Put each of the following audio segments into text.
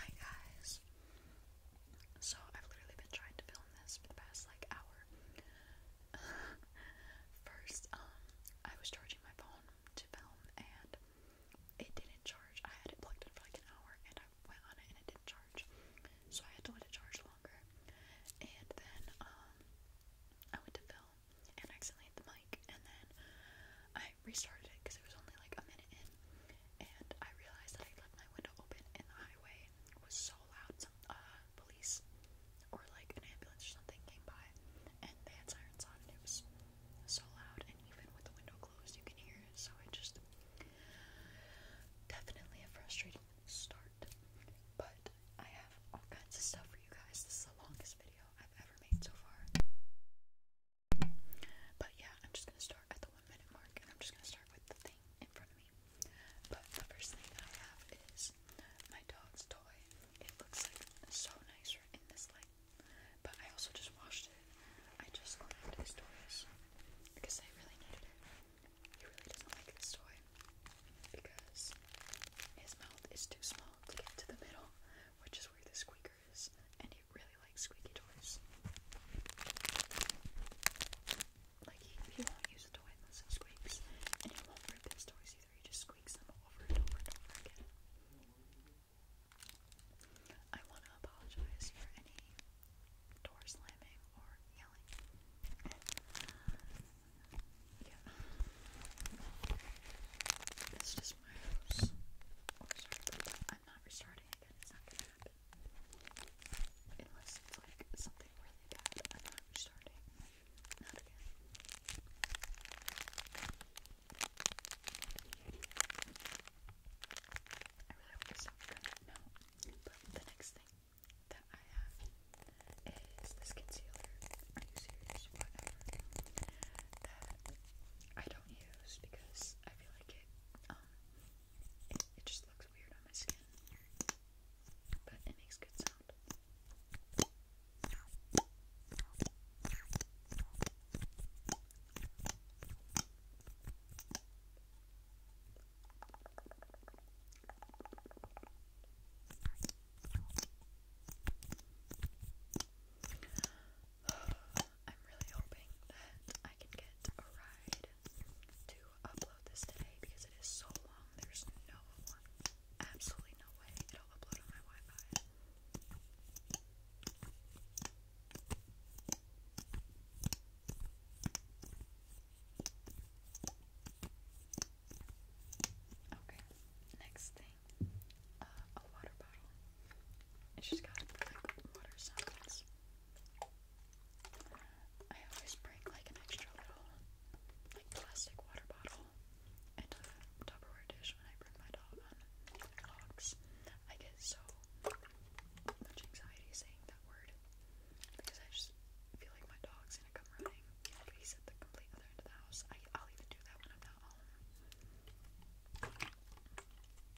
Hi guys. So I've literally been trying to film this for the past like hour. First, um, I was charging my phone to film and it didn't charge. I had it plugged in for like an hour and I went on it and it didn't charge. So I had to let it charge longer. And then um, I went to film and accidentally hit the mic and then I restarted it because it was only like a minute in and I realized that I left my window open and the highway was so loud some uh, police or like an ambulance or something came by and they had sirens on and it was so loud and even with the window closed you can hear it so it just definitely a frustrating start but I have all kinds of stuff for you guys. This is the longest video I've ever made so far. But yeah, I'm just gonna start at the one minute mark and I'm just gonna start with the thing in front of me. But the first thing I have is my dog's toy. It looks like so nice in this light. But I also just washed it. I just cleaned his toys because I really needed it. He really doesn't like this toy because his mouth is too small to get to the middle, which is where the squeaker stickers, and he really likes squeaky toys. Like, he, he won't use a toy unless it squeaks, and he won't rip his toys either, he just squeaks them over and over and over again. I want to apologize for any door slamming or yelling. yeah. It's just my house. Oh, sorry, I i not restarting again. It's not gonna happen. Unless it's like something really bad. not restarting. again. I really hope it's not no. But the next thing that I have is this concealer. Are you Whatever. That I don't use because I feel like it it just looks weird on my skin, but it makes good sound. I'm really hoping that I can get a ride to upload this today because it is so long. There's no, absolutely no way it'll upload on my Wi-Fi. Okay, next thing, uh, a water bottle. It's just got water sounds. I always bring like an extra little like plastic water bottle and a Tupperware dish when I bring my dog on vlogs. I get so much anxiety saying that word because I just feel like my dog's gonna come running. But he's at the complete other end of the house. I, will even do that when I'm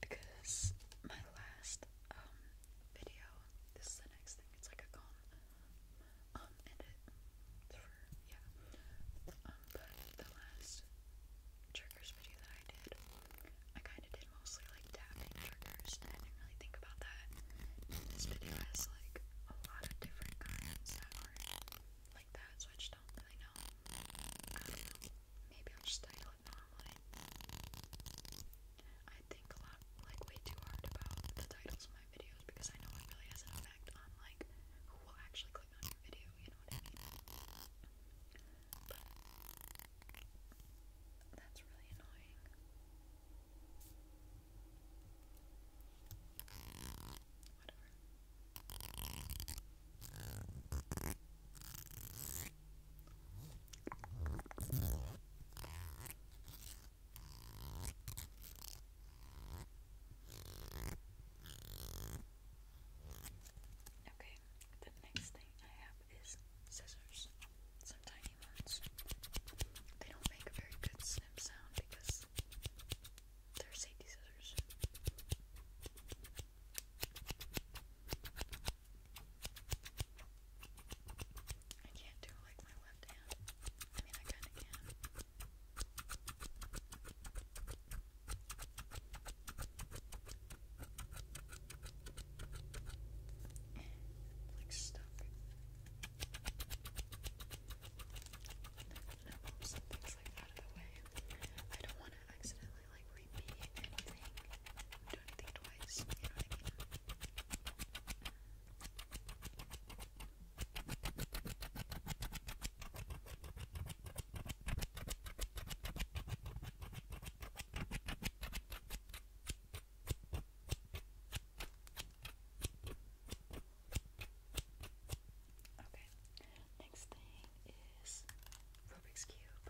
because my last um video, this is the next thing, it's like a con um edit for yeah. Um but the last triggers video that I did, I kinda did mostly like tapping triggers and I didn't really think about that. this video has like a lot of different kinds that are like that, so don't really know. I do Maybe I'll just title it normally. I think a lot, like, way too hard about the titles of my videos because I know it really has an effect on, like, who will actually click on your video, you know what I mean? that's really annoying. Whatever. Okay, the next thing I have is scissors. Some tiny ones. They don't make a very good snip sound because they're safety scissors. I can't do like my left hand. I mean, I kind of can. like stuff. No, some things like out of I don't want to accidentally really like repeat anything. Do anything twice, you Okay, next thing is Rubik's Cube.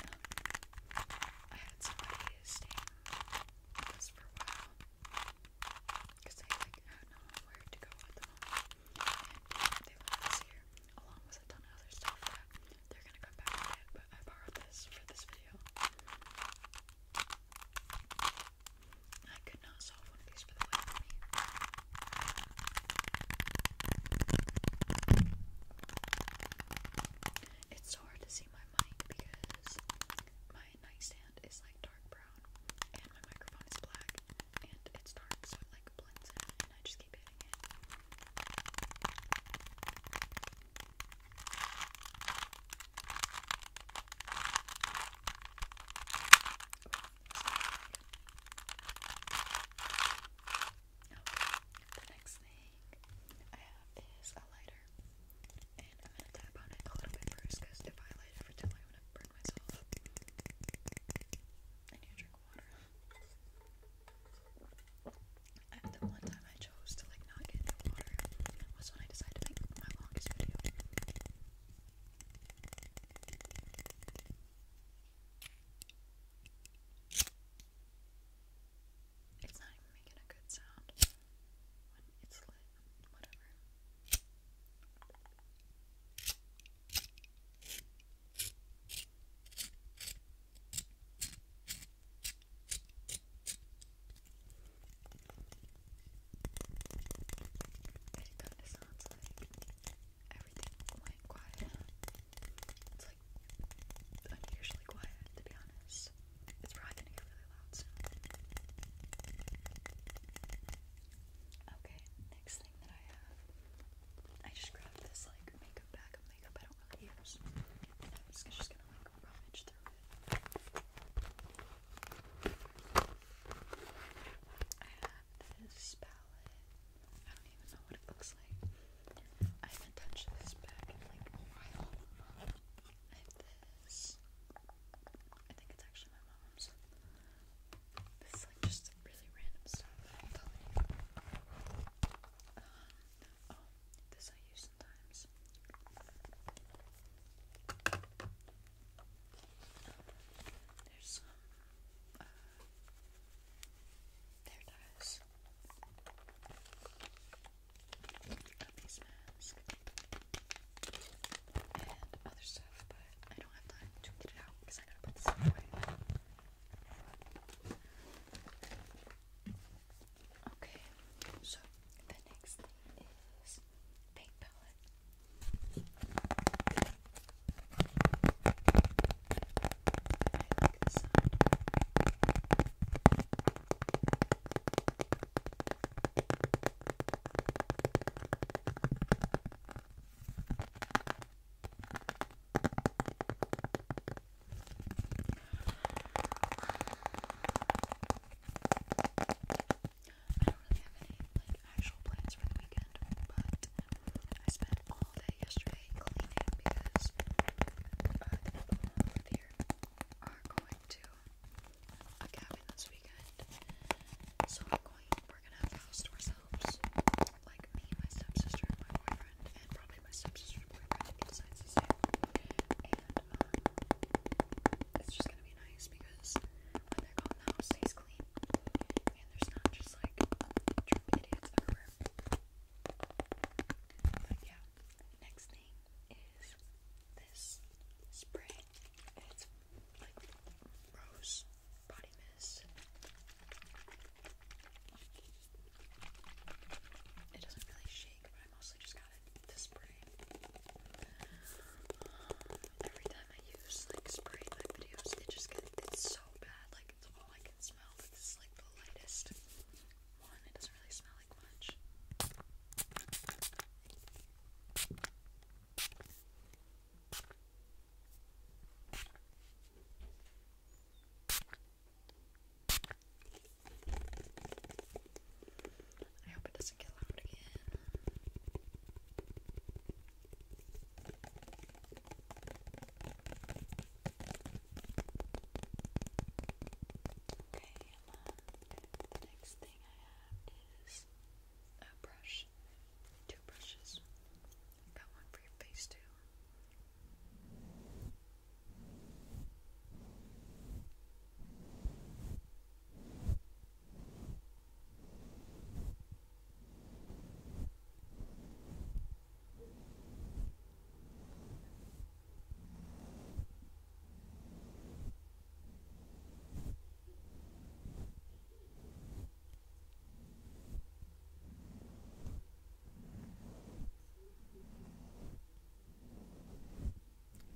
Um, I had somebody staying with us for a while because they like had no where to go at the and they wanted us here along with a ton of other stuff they're gonna come back and get. But I borrowed this for this video. I could not solve one of these for the life of me. It's so hard to see my mic because my nightstand is like dark brown and my microphone is black and it's dark so it like blends in and I just keep hitting it the next thing I have is a lighter. And I'm going to tap on it a little bit first because if I light it for too long, I'm going to burn myself. I need drink water. the one time I chose to like not get water was when I decided to make my longest video. It's not making a good sound when it's lit, whatever. It kind of sounds like everything went quiet. It's like unusually quiet, to be honest. It's probably gonna get really loud soon. Okay, next thing that I have, I just grabbed this like makeup bag of makeup I don't really use. And I'm just, just gonna like rummage through it this palette. I don't even know what it looks like. I haven't touched this back in like a while. this. I think it's actually my mom's. This like just really random stuff Um, oh, this I use sometimes. there's some uh, there it is. Got these masks and other stuff, but I don't have time to get it out because I gotta put this away. Okay, so the next thing is paint palette like the sound. I don't really have any like actual plans for the weekend, but I spent all day yesterday cleaning because uh, are going to a cabin this weekend. So I'm going, we're gonna have the house to ourselves. Like me, my stepsister, my boyfriend, and probably my stepsister's boyfriend if he And um, it's just gonna be nice because when they're gone, the house stays clean and there's not just like idiots everywhere. But yeah, next thing is this spray. It's like rose body mist. It doesn't really shake, but I mostly just got it to spray. every time I use like spray in my videos, it just gets it's so bad. Like it's all I can smell, but this is like the lightest one. It doesn't really smell like much. I hope it doesn't get loud again. Okay, um, the next thing I have is a brush. Two brushes. got one for your face too.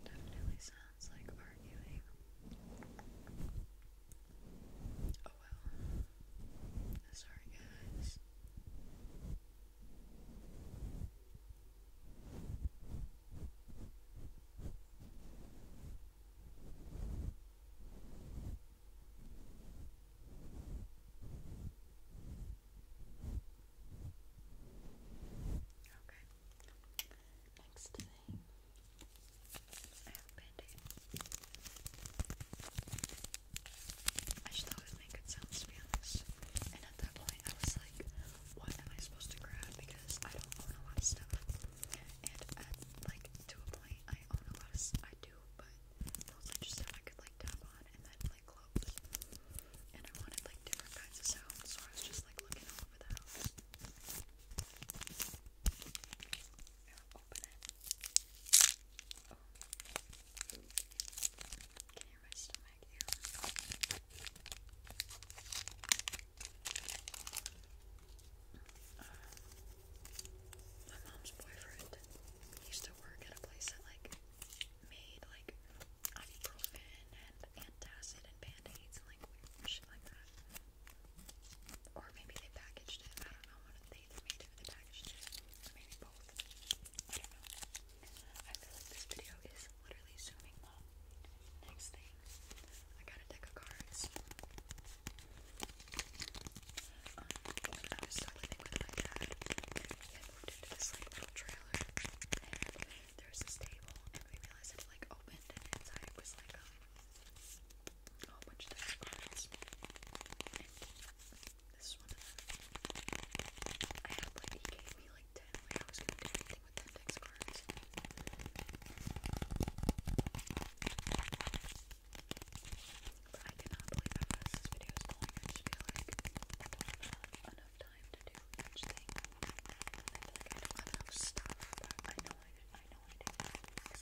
Definitely sounds like arguing. Oh well. Sorry, guys. Okay. Next thing, I have a I just thought it to be honest. And at that point, I was like, what am I supposed to grab? Because I don't own a lot of stuff. And like, to a point, I own a lot of I do, but those are just stuff I could, like, tap on and then, like, clothes. And I wanted, like, different kinds of sounds, so I was just, like, looking all over the house open you my mom's boyfriend used to work at a place that like made like ibuprofen and antacid and band-aids and like weird shit like that. Or maybe they packaged it. I don't know what they made to the packaging, or maybe both. I don't know. I feel like this video is literally zooming Next thing, I got a deck of cards. Um, I was still living with my dad, we moved into this like little trailer, and there was this table, and we realized it like opened, and inside was like um, a whole bunch of different this one I had like, gave me like 10, I was gonna do anything with 10 dex But I cannot believe how fast this video going. I like enough time to do each I don't have enough stuff, I know I, know I do. I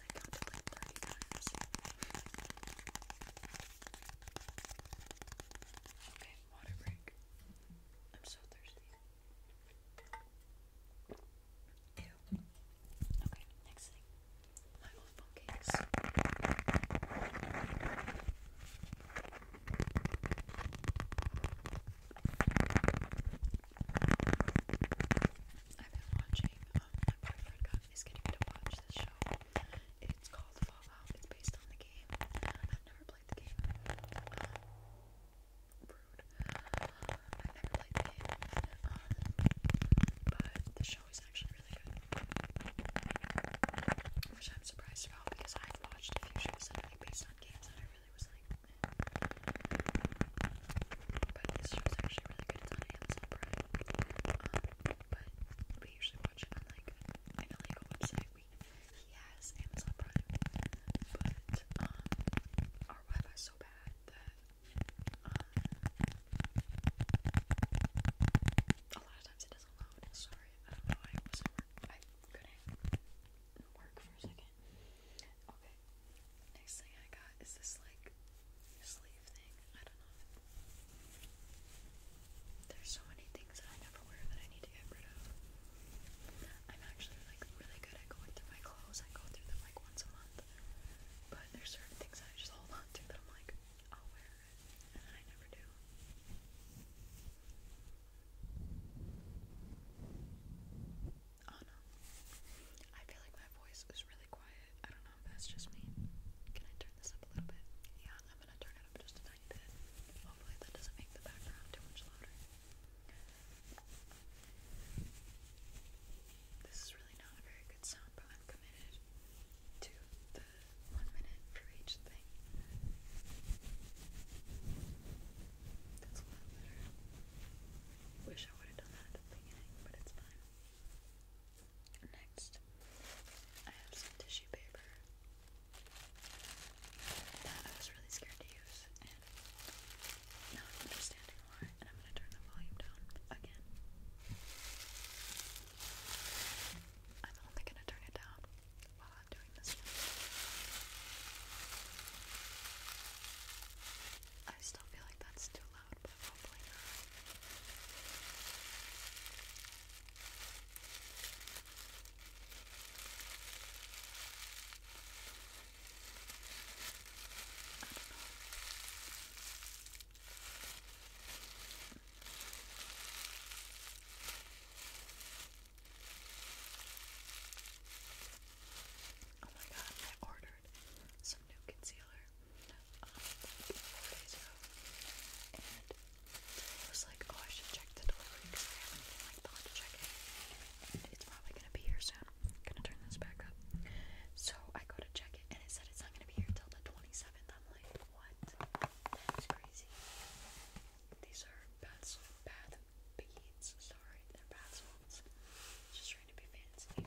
Okay, water break. I'm so thirsty. Ew. Okay, next thing. My phone case. I've been watching, um, my boyfriend got is getting me to watch this show. It's called Fallout. It's based on the game. I've never played the game. Uh, rude. I've never played the game. Um, but the show is actually really good. Which I'm surprised about because I've watched a few shows that are like based on games and I really was like, But this show's actually really good. It's on Amazon Prime. Um, but we usually watch it on like an illegal website. We he has Amazon Prime, but um, our Wi-Fi so bad that um, a lot of times it doesn't load. Sorry, I don't know. I wasn't work. I couldn't work for a second. Okay, next thing I got is this like like sleeve thing. I don't know. There's so many things that I never wear that I need to get rid of. I'm actually like really good at going through my clothes. I go through them like once a month. But there's certain things that I just hold on to that I'm like, I'll wear it. And I never do. Oh no. I feel like my voice is really quiet. I don't know that's just me. Can I turn this up a little bit? Yeah, I'm gonna turn it up just a tiny bit. Hopefully that doesn't make the background too much louder. This is really not a very good sound, but I'm committed to the one minute for each thing. That's a lot better. Wish I would have done that at the beginning, but it's fine. Next, I have some tissue paper that I was really scared to use, and now understanding why, and I'm gonna turn the volume down again. I'm only gonna turn it down while I'm doing this I still feel like that's too loud, but hopefully not. I don't know. Oh my god, I ordered some new concealer four days ago, and I was like, oh, I should check the delivery because I haven't like thought to check it, it's probably gonna be here so I'm gonna turn this back up. So I go to check it, and it said it's not gonna be here till the 27th. I'm like, what? That's crazy. These are bath bath beads. Sorry, they're bath salts. Just trying to be fancy.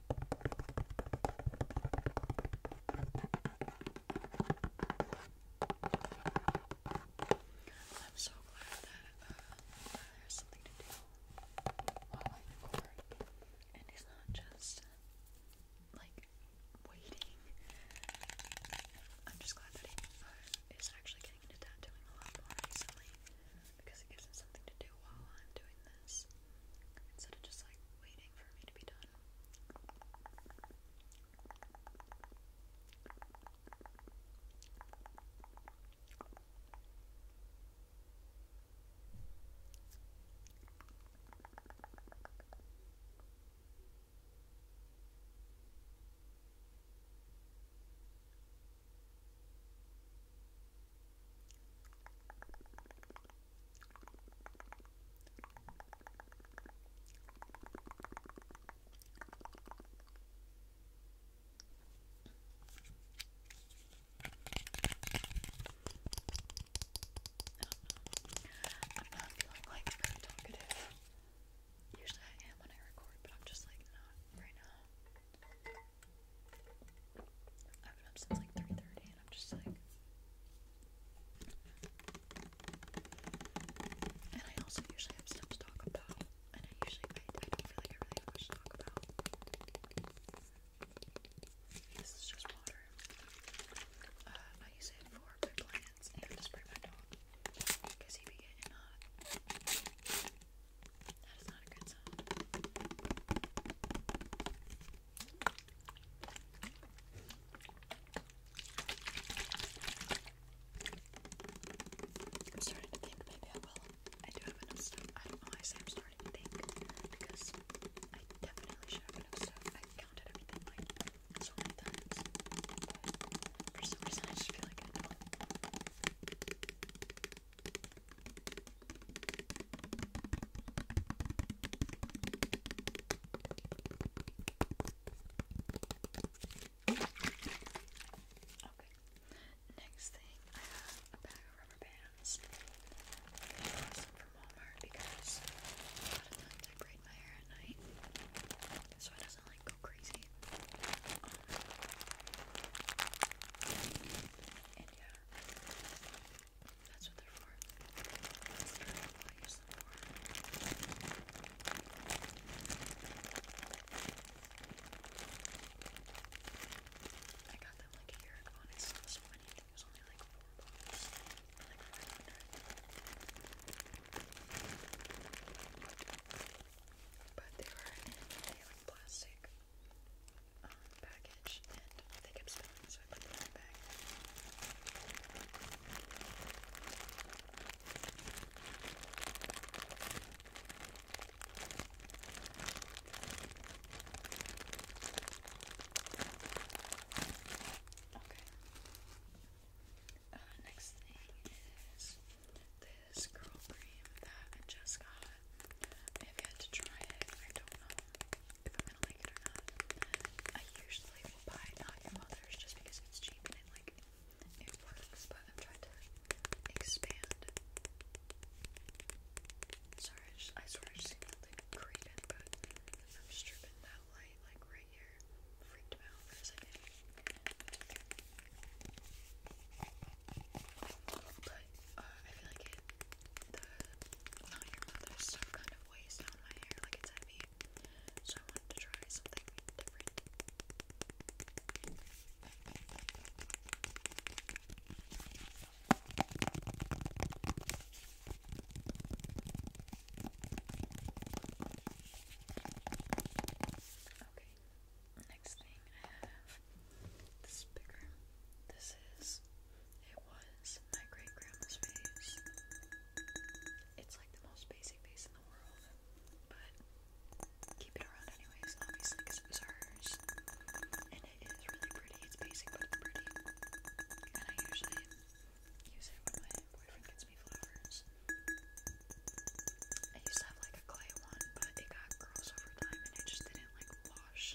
I'm so glad that uh, there's something to do while I record, and it's not just like waiting. I'm just glad that it is actually getting into tattooing a lot more recently because it gives me something to do while I'm doing this instead of just like waiting for me to be done. Okay. I'm not feeling like very talkative. Usually I am when I record, but I'm just like not right now. I've been up since like 3:30 and I'm just like and I also usually have stuff to talk about. And I usually I, I don't feel like I really have much to talk about. This is just water. Uh, I use it for my plants and to spray my dog. Because he be getting hot. That is not a good sound. I'm starting to think maybe I will. I do have enough stuff. I don't know why I say I'm starting to think because I definitely should have enough stuff. I counted everything so for some reason I just feel like Okay. Next thing, I have a bag of rubber bands. I got some from Walmart because a lot of times I braid my hair at night, so it doesn't like go crazy. Um, and yeah, that's what they're for. That's what I use them for. I got them like a year ago and I saw this one. it was only like four bucks or like 500. But they were in plastic. Um, package and they kept spilling, so I put them in Okay. Uh, next thing is this curl cream that I just got. I've to try it. I don't know if I'm gonna like it or not. I usually will buy not your mother's just because it's cheap and it like it but I'm trying to expand. Sorry, I, swear I just like created, but I'm stripping that light like right here. Freaked out for a second. But uh, I feel like the not your mother stuff kind of weighs down my hair, like it's heavy. So I wanted to try something different. Okay, next thing I have this bigger. This is it was my great grandma's face. It's like the most basic face in the world, but keep it around anyways, obviously, it was hers. And it is really pretty. It's basic, but it's pretty. And I usually use it when my boyfriend gets me flowers. I used to have like a clay one, but it got gross over time and I just didn't like wash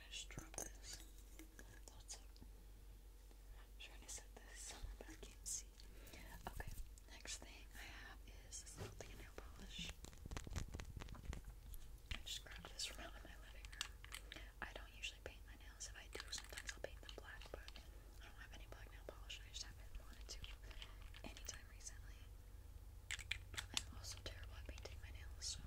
I just drop this? That's it. trying to set this but I can't see. Okay, next thing I have is this nail polish. I just grabbed this from out in my living room. I don't usually paint my nails. If I do, sometimes I'll paint them black, but I don't have any black nail polish. I just haven't wanted to anytime recently. I'm also terrible at painting my nails, so.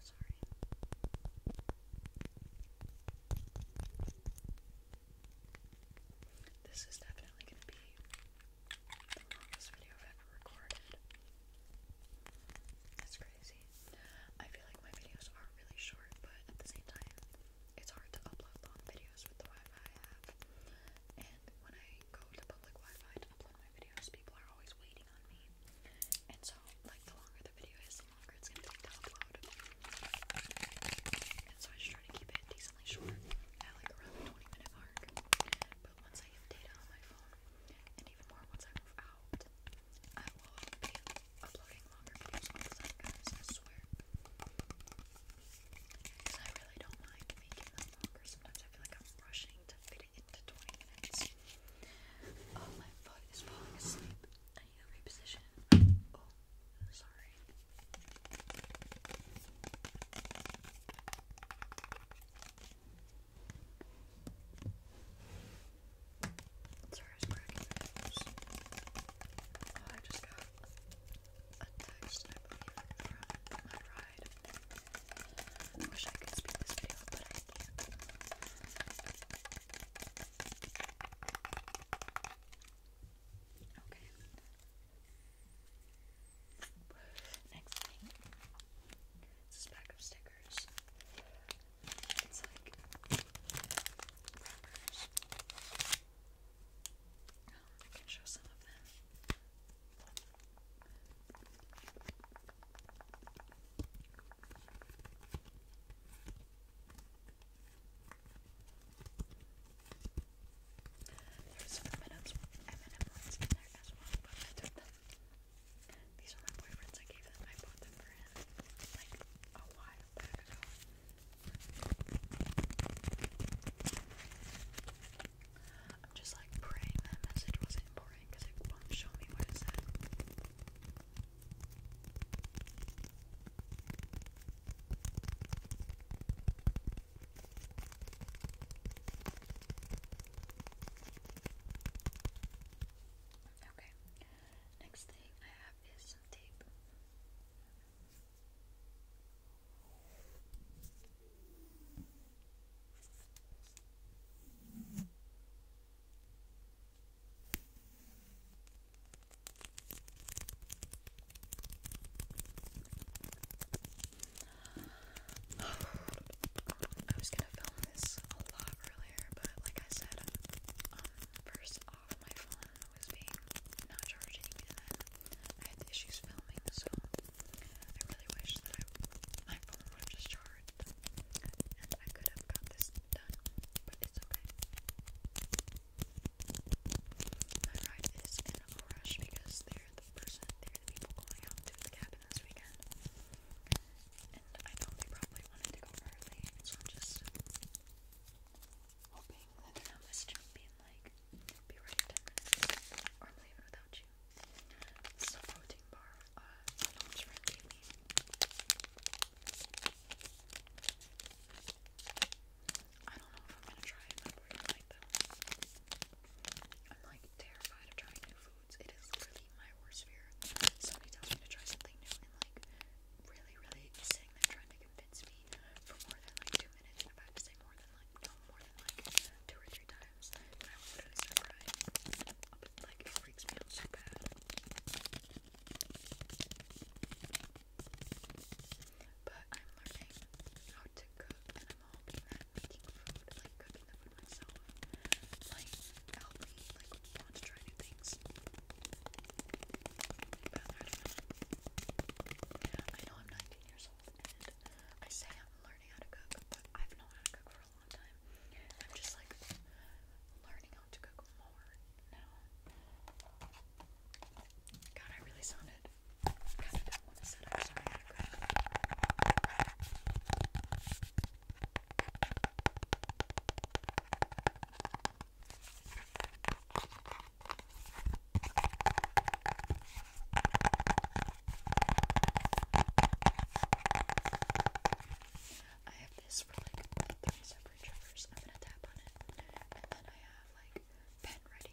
Sorry. This is definitely going to be the video ever recorded. It's crazy. I feel like my videos are really short, but at the same time, it's hard to upload long videos with the Wi-Fi I have. And when I go to public Wi-Fi to upload my videos, people are always waiting on me. And so, like, the longer the video is, the longer it's gonna take to upload. And so I just try to keep it decently short at like around the 20 minute mark. But once I data on my phone, and even more once I move out, I will be uploading longer videos all the time, I swear. Because I really don't mind making them longer. Sometimes I feel like I'm rushing to fit it into 20 minutes. Oh, my foot is falling asleep. I need to reposition. Oh, sorry. Sorry, I was cracking my nose. Oh, I just got a text, I from my ride. wish I could speed this video Okay. Next thing this pack of stickers. I can show some of them. There's some M&M's, M&M in there as well, These are my boyfriend's. I gave them. I bought them for him like a while back ago. I'm just like praying that message wasn't important because it won't show me what it said. Okay, next thing I have is some tape. I was gonna film this a lot earlier, but like I said, um, first off, my phone was being not charging, and then I had issues filming, so I really wish that my phone would have just charged, and I could have got this done, but it's okay. My ride is in a rush because they they the person, they the people going out to the cabin this weekend. And I thought they probably wanted to go early, so I'm just hoping that they're not messaging being like, be ready in 10 minutes, without you. This is a protein I don't know if I'm gonna try it, but we're like them. I'm like terrified of trying new foods. It is literally my worst fear. Somebody tells me to try something new and like really, really sitting there trying to convince me for more than like two minutes. If I have to say more than like no more than like two or three times, and I will literally start crying. Like it freaks me out so bad. But I'm learning how to cook mom making food, like cooking the food myself, might help me like want to try new things. I know. I am 19 years old and I say I'm learning how to cook, but I've known how to cook for a long time. I'm just like learning how to cook more now. God, I really sounded I have this for like three separate triggers. I'm gonna tap on it, and then I have like pen writing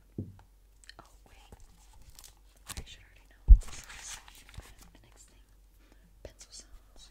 Oh, wait. I should already know next thing pencil sounds.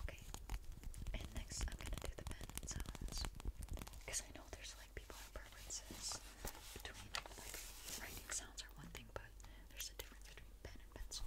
Okay. And next I'm gonna do the pen sounds. Because I know there's like people have preferences between like writing sounds are one thing, but there's a difference between pen and pencil.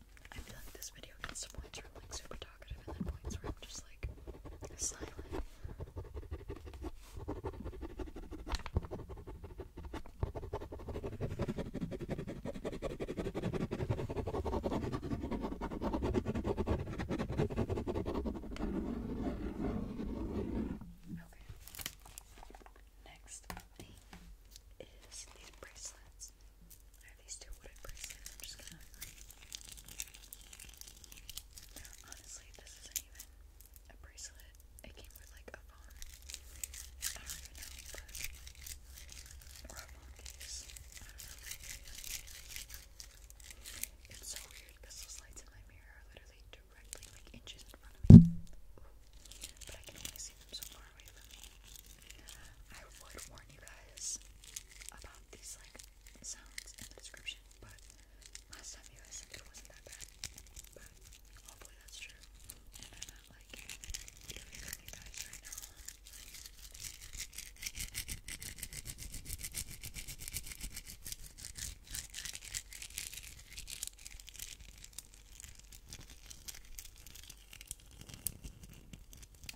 I feel like this video gets to points where I'm like super talkative and then points where I'm just like silent. Okay. Next thing is these bracelets bricks. I these two wooden bricks am just gonna. Honestly, this isn't even a bracelet. It came with like a phone. I don't even know, but or a phone case. It's so weird because those lights in my mirror literally directly like inches in front of me. But I can only see them so far away I would warn you guys about these like sounds in the description, but last time you guys said it wasn't that bad. But hopefully that's true. And I'm not like doing for you guys right now.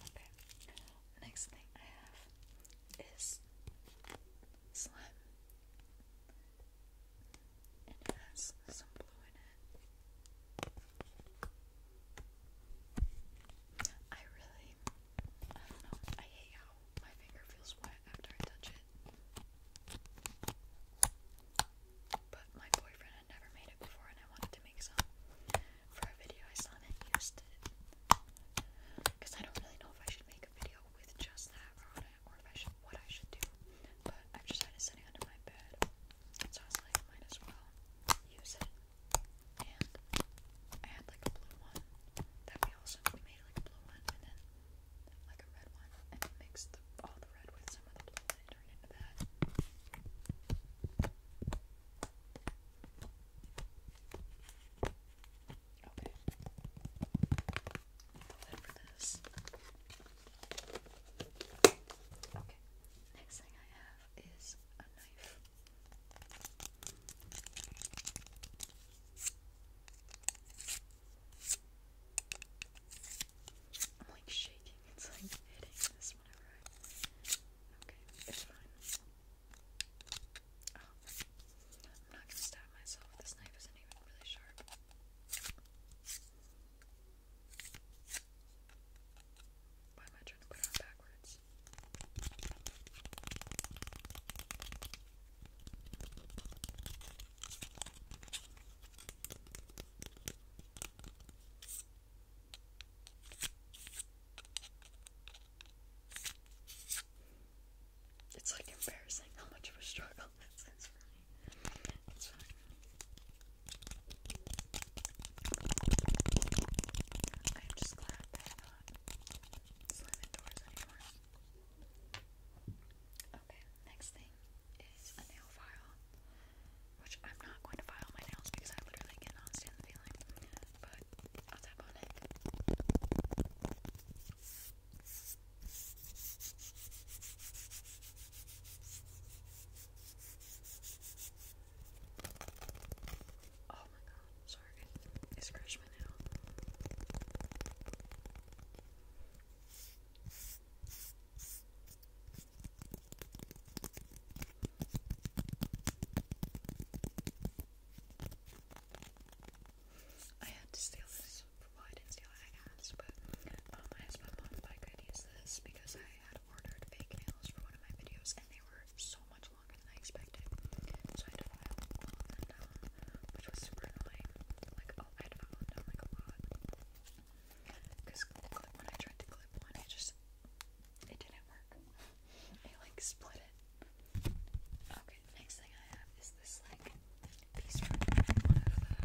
Okay. Next thing I have is slime. And it has some blue in it. I really, I don't know, I hate how my finger feels wet after I touch it. But my boyfriend had never made it before and I wanted to make some for a video I saw that used it. Because I don't really know if I should make a video with just that or what I should do. But i just had it sitting under my bed, so I was like, might as well use it. And I had like a blue one that we also we made like a blue one, and then like a red one, and mixed all the red with some of the blue, and turned into that. Okay. The for this. Okay. Next thing I have is a knife. I'm like shaking. It's like hitting this whenever I. Okay, it's fine. Oh, I'm not gonna stab myself. This knife isn't even really sharp. Why am I trying to put it on backwards? It's like embarrassing how much of a struggle this is for me. I'm just glad that I'm not slamming doors anymore. Okay, next thing is a nail file. Which I'm not going to file my nails because I literally cannot stand the feeling but I'll tap Oh my god, sorry, it scratched my nail. I had to steal this. Well, I did but um, I asked my mom if use this because I had ordered fake nails for one of my videos and they were so much longer than I expected. So I had to file them down, which was super annoying. Like, oh, I had to file them down like a lot. Because when I tried to clip one, it just it didn't work. I like split it. Okay, next thing I have is this like piece from one of the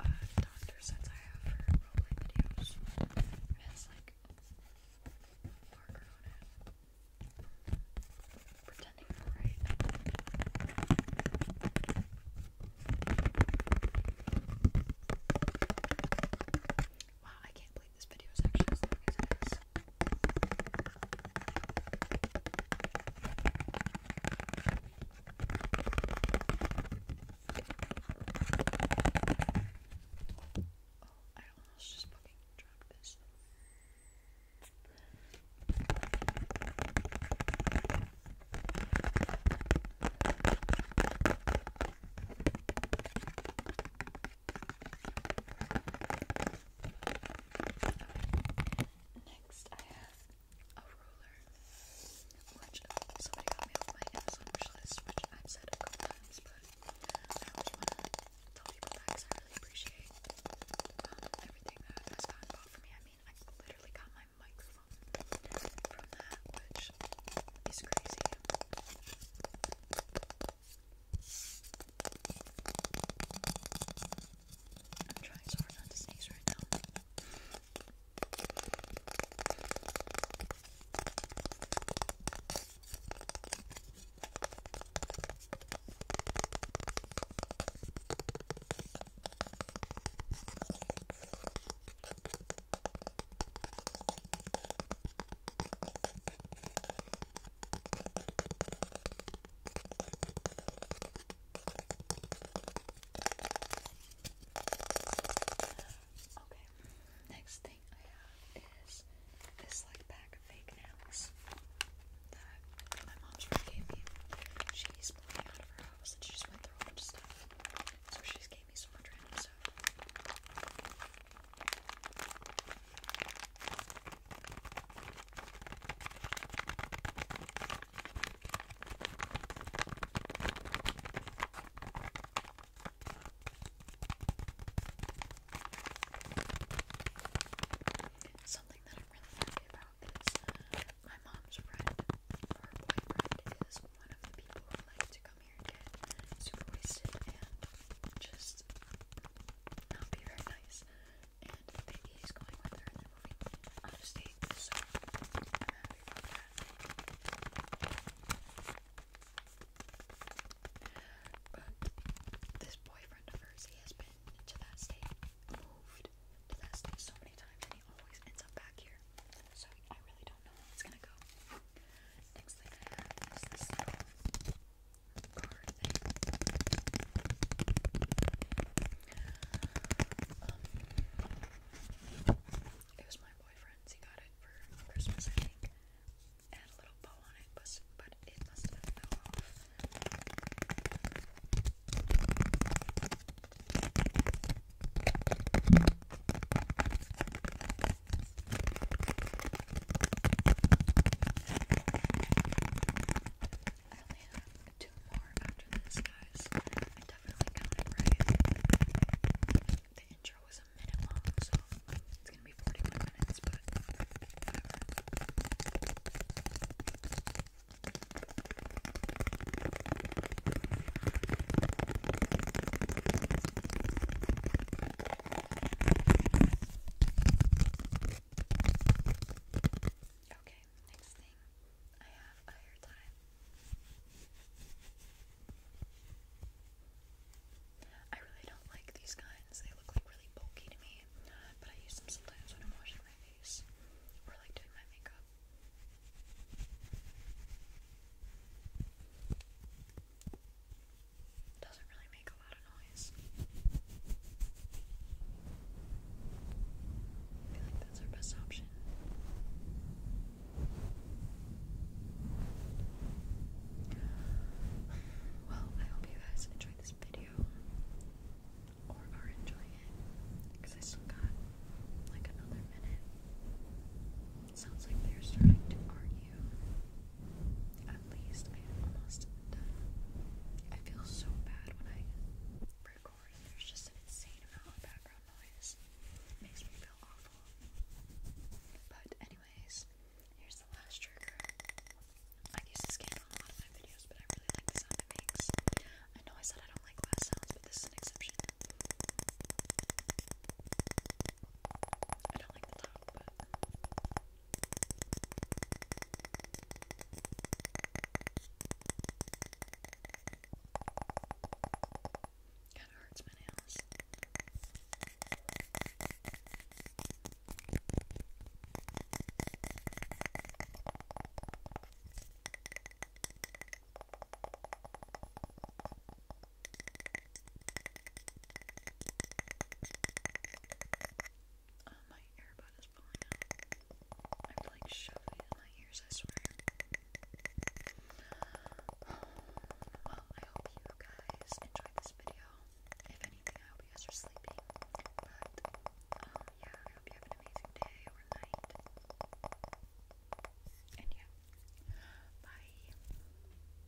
uh, doctor sets I have for roleplay videos. It has like marker on it. Pretending to write. Wow, I can't believe this video is actually as long as it is. Oh, I almost just fucking dropped this. Next, I have a ruler, which oh, somebody got me off my Amazon wish which I've said a couple times, but I always want to tell people that I really appreciate um, everything that has gotten bought for me. I mean, I literally got my microphone from that, which is crazy. I'm trying so hard not to sneeze right now. Okay, next thing I have is this like pack of fake nails that my mom's friend gave me. She's moving out of her house and she just went through a bunch of stuff. So she's gave gave me so much random stuff. Something that I'm really happy about is uh, my mom's friend, her boyfriend, is one of the people who likes to go come here super wasted and just not be very nice. And he's going with her in the movie on a stage, so But this boyfriend of hers, he has been to that state, moved to that state so many times, and he always ends up back here. So I really don't know how it's gonna go. Next thing um, it was my boyfriend's. He got it for Christmas, I think. had a little bow on it, but, but it must have fell off. I only have two more after this, guys. I definitely counted right. The intro was a minute long, so it's gonna be 41 minutes, but Okay, next thing I have a hair tie. I really don't like these kinds. They look like really bulky to me, but I use them sometimes when I'm washing my face or like doing my makeup. Doesn't really make a lot of noise. I feel like that's our best option. Well, I hope you guys enjoyed this video or are enjoying it because I still got like another minute. It sounds like they're starting to argue. At least I am almost done. I feel so bad when I record. There's just an insane amount of background noise. makes me feel awful. But anyways, here's the last trigger. I use this game a lot of my videos, but I really like the sound I know I said I don't like glass sounds, but this is an exception. I don't like the top but... Kinda hurts my nails. Oh, my earbud is falling out. I'm like shoving in my ears, I swear. Well, I hope you guys enjoyed this video. If anything, I hope you guys are sleeping. But, um, yeah, I hope you have an amazing day or night. And yeah, bye.